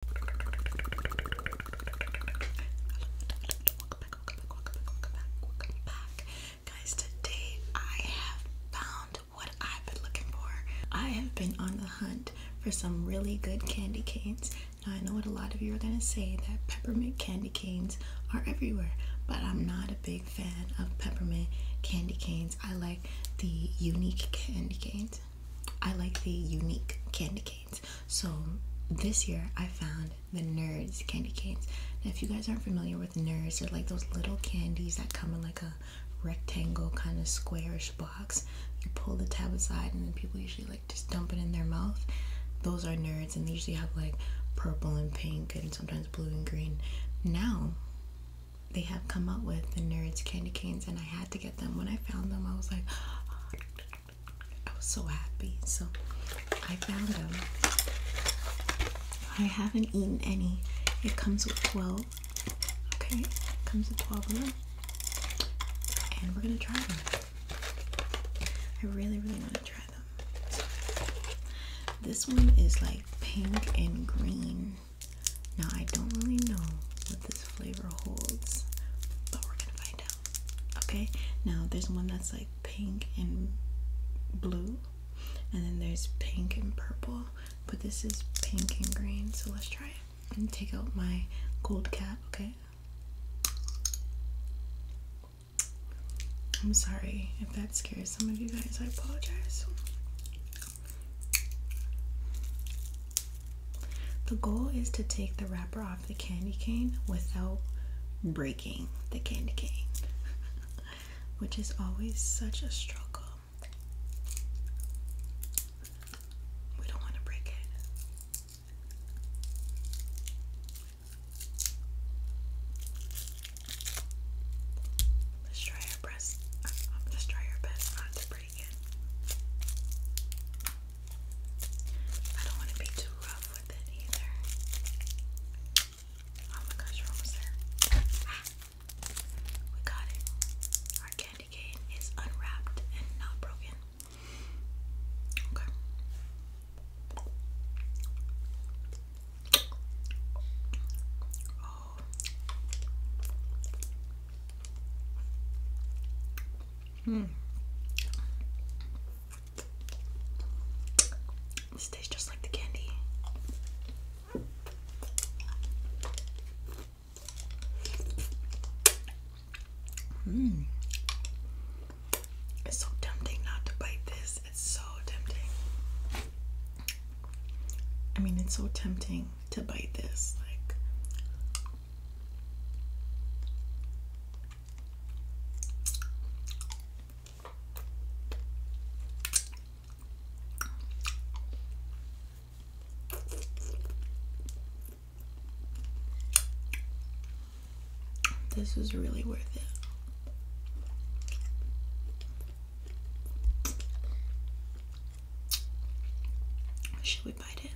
welcome back. Guys, today I have found what I've been looking for. I have been on the hunt for some really good candy canes. Now, I know what a lot of you are going to say that peppermint candy canes are everywhere, but I'm not a big fan of peppermint candy canes. I like the unique candy canes. I like the unique candy canes. So this year I found the Nerds candy canes. Now, if you guys aren't familiar with Nerds, they're like those little candies that come in like a rectangle kind of squarish box. You pull the tab aside, and then people usually like just dump it in their mouth. Those are Nerds, and they usually have like purple and pink and sometimes blue and green. Now they have come up with the Nerds candy canes, and I had to get them when I found them I was like I was so happy so I found them I haven't eaten any it comes with 12 okay comes with 12 and we're gonna try them I really really want to try them this one is like pink and green now, I don't really know what this flavor holds, but we're gonna find out. Okay, now there's one that's like pink and blue, and then there's pink and purple, but this is pink and green, so let's try it and take out my gold cap, okay? I'm sorry if that scares some of you guys, I apologize. The goal is to take the wrapper off the candy cane without breaking the candy cane, which is always such a struggle. We don't want to break it. Let's try our best. let's try our best not to break pretty good. I don't want to be too rough with it either. Oh my gosh, we're almost there. Ah, we got it. Our candy cane is unwrapped and not broken. Okay. Oh, Hmm. This tastes just like the candy. Hmm. It's so tempting not to bite this. It's so tempting. I mean, it's so tempting to bite this. Like, this was really worth it. Should we bite it?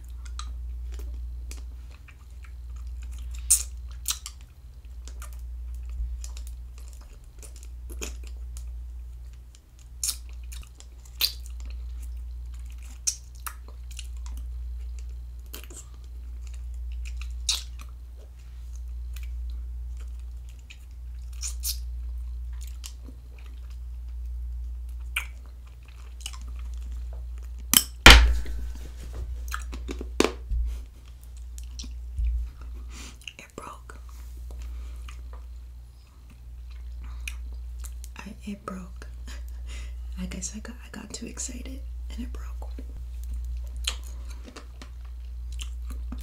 It broke. I it broke. I guess I got I got too excited and it broke.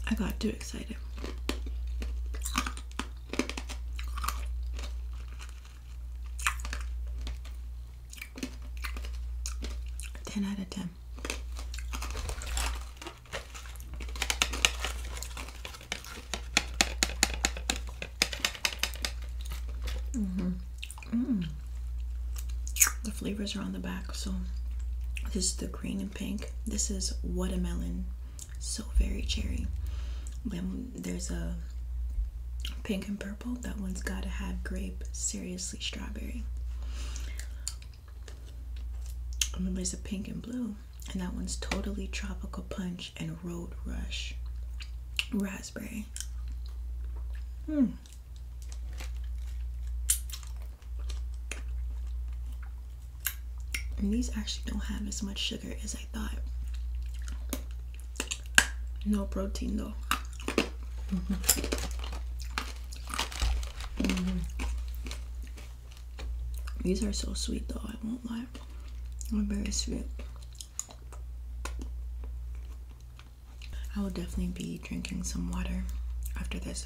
I got too excited. 10 out of 10. Mm-hmm. mm-hmm. The flavors are on the back, so this is the green and pink. This is watermelon so very cherry. Then there's a pink and purple, that one's gotta have grape, seriously, strawberry. And there's a pink and blue, and that one's totally tropical punch and road rush, raspberry. Hmm. And these actually don't have as much sugar as I thought. No protein though. Mm-hmm. These are so sweet though, I won't lie. They're very sweet. I will definitely be drinking some water after this.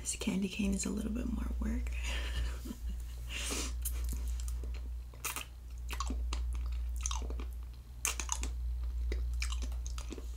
This candy cane is a little bit more work.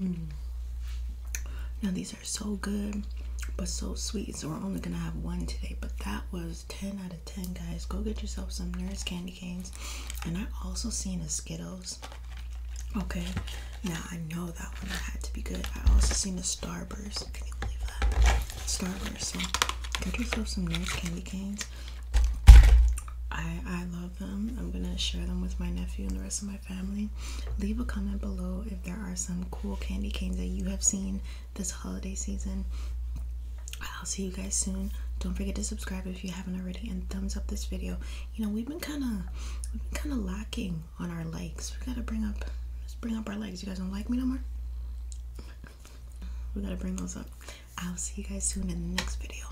Mm. Now these are so good, but so sweet. So we're only gonna have one today. But that was 10 out of 10, guys. Go get yourself some Nerds candy canes. And I also seen the Skittles. Okay, now I know that one had to be good. I also seen the Starburst. Can you believe that? Starburst. So get yourself some Nerds candy canes. I I love them. I'm gonna share them with my nephew and the rest of my family. Leave a comment below if there are some cool candy canes that you have seen this holiday season. I'll see you guys soon. Don't forget to subscribe if you haven't already and thumbs up this video. You know, we've been kind of kind of lacking on our likes. We got to bring up let's bring up our likes. You guys don't like me no more? we got to bring those up. I'll see you guys soon in the next video.